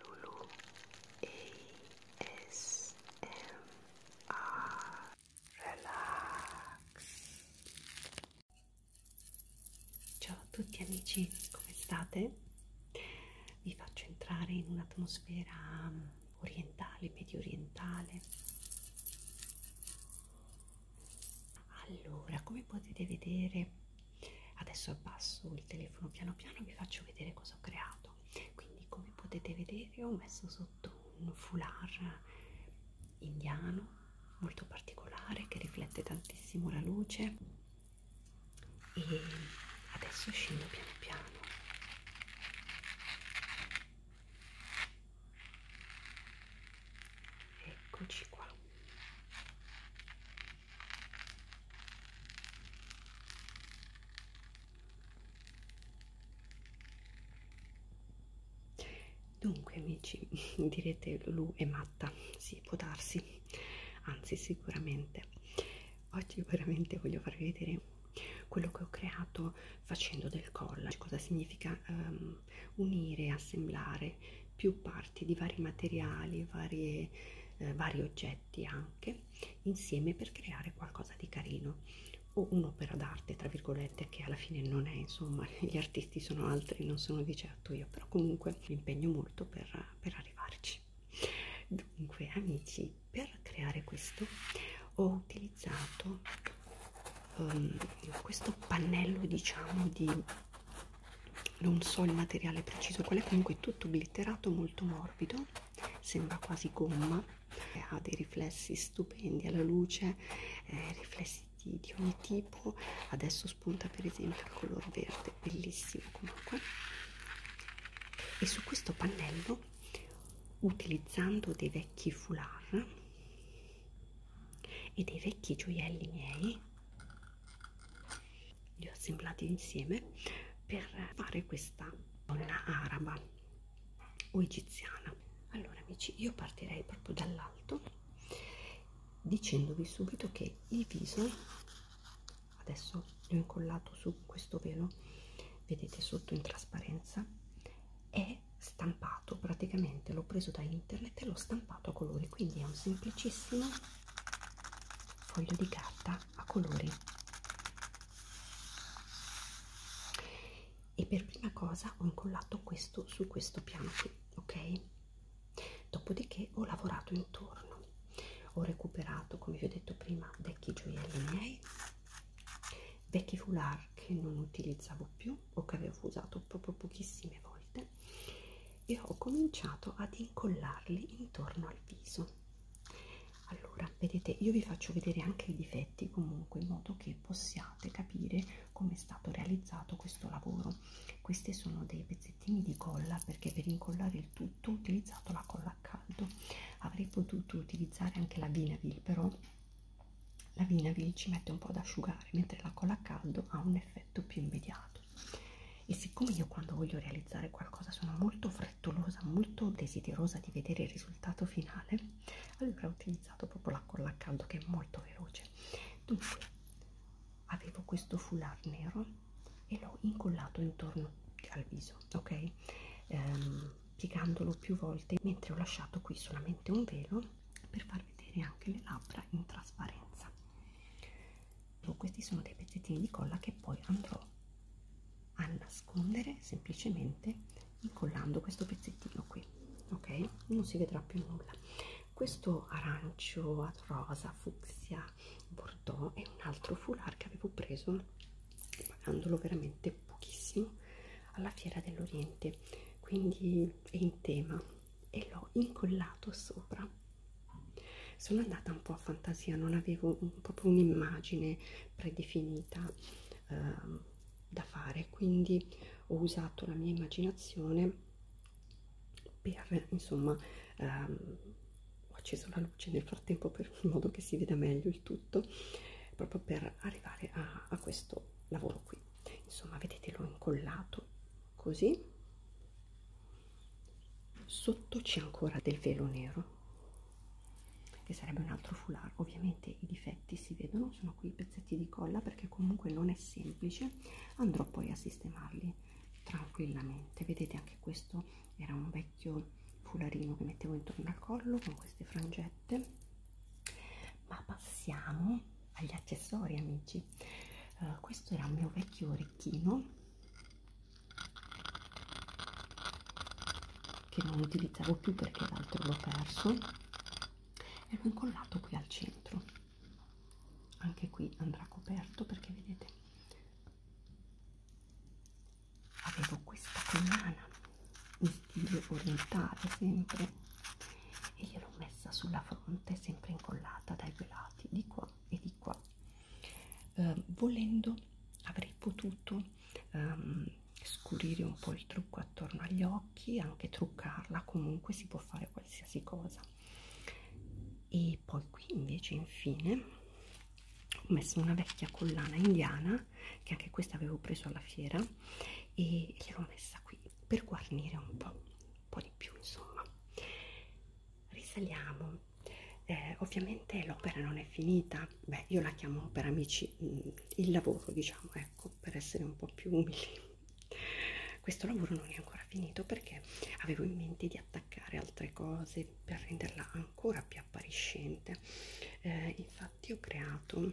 Lulu ASMR Relax Ciao a tutti amici, come state? Vi faccio entrare in un'atmosfera mm, orientale, medio orientale allora come potete vedere adesso abbasso il telefono piano piano vi faccio vedere cosa ho creato quindi come potete vedere ho messo sotto un foulard indiano molto particolare che riflette tantissimo la luce e adesso scendo piano piano eccoci qua Dunque amici, direte Lu è matta, sì può darsi, anzi sicuramente. Oggi veramente voglio farvi vedere quello che ho creato facendo del collage, cosa significa um, unire, assemblare più parti di vari materiali, varie, eh, vari oggetti oggetti anche insieme per creare qualcosa di carino o un'opera d'arte tra virgolette che alla fine non è insomma gli artisti sono altri non sono di certo io però comunque mi impegno molto per, per arrivarci dunque amici per creare questo ho utilizzato um, questo pannello diciamo di non so il materiale preciso qual è comunque tutto glitterato molto morbido sembra quasi gomma ha dei riflessi stupendi alla luce eh, riflessi di, di ogni tipo adesso spunta per esempio il color verde bellissimo comunque e su questo pannello utilizzando dei vecchi foulard e dei vecchi gioielli miei li ho assemblati insieme per fare questa donna araba o egiziana allora amici io partirei proprio dall'alto dicendovi subito che il viso adesso l'ho incollato su questo velo vedete sotto in trasparenza è stampato praticamente l'ho preso da internet e l'ho stampato a colori quindi è un semplicissimo foglio di carta a colori e per prima cosa ho incollato questo su questo piano qui ok dopodiché ho lavorato intorno ho recuperato come vi ho detto prima vecchi gioielli miei vecchi foulard che non utilizzavo più o che avevo usato proprio pochissime volte e ho cominciato ad incollarli intorno al viso allora vedete io vi faccio vedere anche i difetti comunque in modo che possiate capire come è stato realizzato questo lavoro questi sono dei pezzettini di colla perché per incollare il tutto ho utilizzato la colla a caldo avrei potuto utilizzare anche la vinavil però la vinavil ci mette un po' ad asciugare mentre la colla a caldo ha un effetto più immediato e siccome io quando voglio realizzare qualcosa sono molto frettolosa, molto desiderosa di vedere il risultato finale, allora ho utilizzato proprio la colla a caldo che è molto veloce. Dunque, avevo questo foulard nero e l'ho incollato intorno al viso, ok? Ehm, piegandolo più volte, mentre ho lasciato qui solamente un velo per far vedere anche le labbra in trasparenza questi sono dei pezzettini di colla che poi andrò a nascondere semplicemente incollando questo pezzettino qui ok non si vedrà più nulla questo arancio rosa fucsia bordeaux è un altro foulard che avevo preso pagandolo veramente pochissimo alla fiera dell'oriente quindi è in tema e l'ho incollato sopra sono andata un po' a fantasia, non avevo un, proprio un'immagine predefinita eh, da fare, quindi ho usato la mia immaginazione per insomma ehm, ho acceso la luce nel frattempo per in modo che si veda meglio il tutto proprio per arrivare a, a questo lavoro qui insomma vedete l'ho incollato così sotto c'è ancora del velo nero che sarebbe un altro foulard ovviamente i difetti si vedono sono qui i pezzetti di colla perché comunque non è semplice andrò poi a sistemarli tranquillamente vedete anche questo era un vecchio fularino che mettevo intorno al collo con queste frangette ma passiamo agli accessori amici uh, questo era un mio vecchio orecchino che non utilizzavo più perché l'altro l'ho perso e l'ho incollato qui al centro anche qui andrà coperto perché vedete avevo questa collana in stile orientale sempre e gliel'ho messa sulla fronte sempre incollata dai pelati di qua e di qua eh, volendo avrei potuto ehm, scurire un po' il trucco attorno agli occhi anche truccarla comunque si può fare qualsiasi cosa e poi qui invece infine ho messo una vecchia collana indiana che anche questa avevo preso alla fiera e l'ho messa qui per guarnire un po', un po' di più insomma risaliamo eh, ovviamente l'opera non è finita, beh io la chiamo per amici mm, il lavoro diciamo, ecco, per essere un po' più umili. Questo lavoro non è ancora finito perché avevo in mente di attaccare altre cose per renderla ancora più appariscente. Eh, infatti ho creato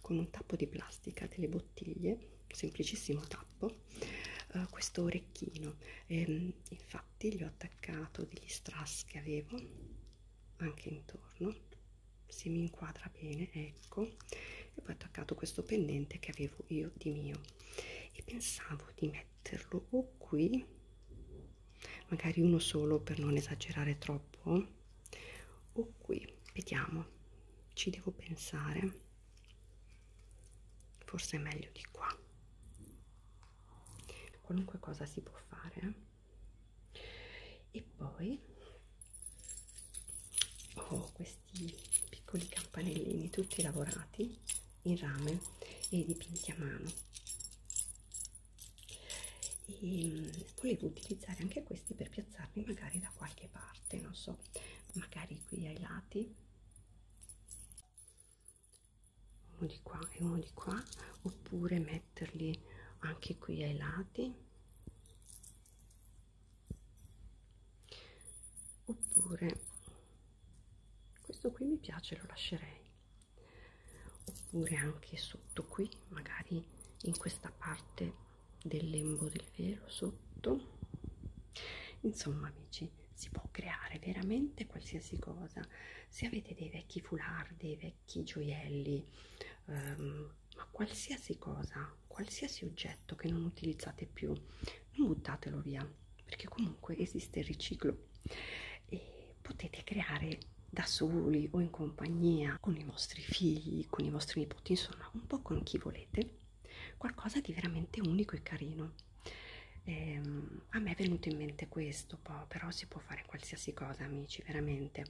con un tappo di plastica delle bottiglie, semplicissimo tappo, eh, questo orecchino. Eh, infatti infatti gli ho attaccato degli strass che avevo anche intorno se mi inquadra bene ecco e poi ho attaccato questo pendente che avevo io di mio e pensavo di metterlo o qui magari uno solo per non esagerare troppo o qui vediamo ci devo pensare forse è meglio di qua qualunque cosa si può fare e poi ho questi piccoli campanellini tutti lavorati in rame e dipinti a mano e mm, volevo utilizzare anche questi per piazzarli magari da qualche parte non so magari qui ai lati uno di qua e uno di qua oppure metterli anche qui ai lati oppure questo qui mi piace lo lascerei oppure anche sotto qui magari in questa parte del lembo del velo sotto insomma amici oggi si può creare veramente qualsiasi cosa se avete dei vecchi foulard dei vecchi gioielli ehm, ma qualsiasi cosa qualsiasi oggetto che non utilizzate più non buttatelo via perché comunque esiste il riciclo e potete creare da soli o in compagnia con i vostri figli con i vostri nipoti insomma un po' con chi volete qualcosa di veramente unico e carino eh, a me è venuto in mente questo po', però si può fare qualsiasi cosa amici veramente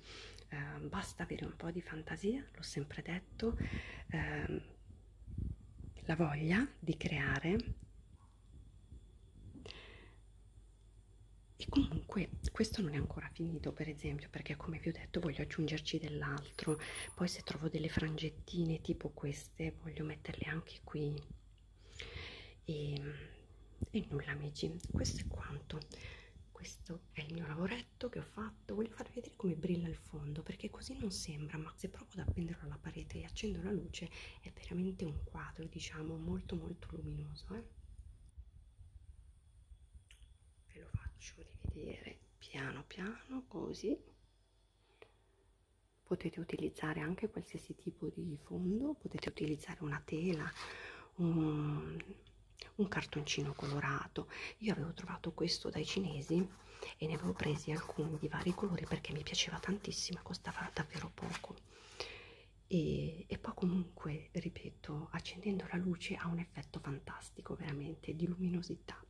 eh, basta avere un po' di fantasia l'ho sempre detto eh, la voglia di creare e comunque questo non è ancora finito per esempio perché come vi ho detto voglio aggiungerci dell'altro poi se trovo delle frangettine tipo queste voglio metterle anche qui e, e nulla amici questo è quanto questo è il mio lavoretto che ho fatto voglio farvi vedere come brilla il fondo perché così non sembra ma se provo ad appenderlo alla parete e accendo la luce è veramente un quadro diciamo molto molto luminoso eh? ve lo faccio rivedere piano piano così potete utilizzare anche qualsiasi tipo di fondo potete utilizzare una tela un, un cartoncino colorato io avevo trovato questo dai cinesi e ne avevo presi alcuni di vari colori perché mi piaceva tantissimo costava davvero poco e, e poi comunque ripeto accendendo la luce ha un effetto fantastico veramente di luminosità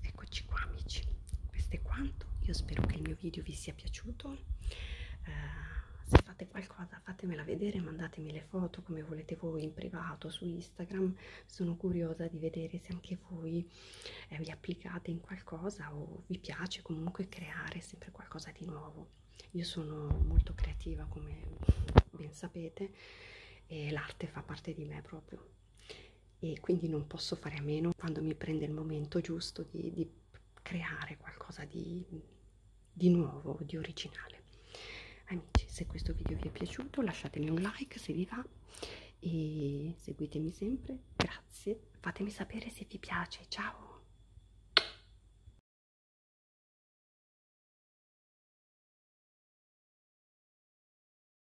eccoci qua amici questo è quanto io spero che il mio video vi sia piaciuto eh, se fate qualcosa fatemela vedere mandatemi le foto come volete voi in privato su instagram sono curiosa di vedere se anche voi eh, vi applicate in qualcosa o vi piace comunque creare sempre qualcosa di nuovo io sono molto creativa come ben sapete e l'arte fa parte di me proprio e quindi non posso fare a meno quando mi prende il momento giusto di, di creare qualcosa di, di nuovo, di originale. Amici, se questo video vi è piaciuto lasciatemi un like se vi va e seguitemi sempre, grazie, fatemi sapere se vi piace, ciao!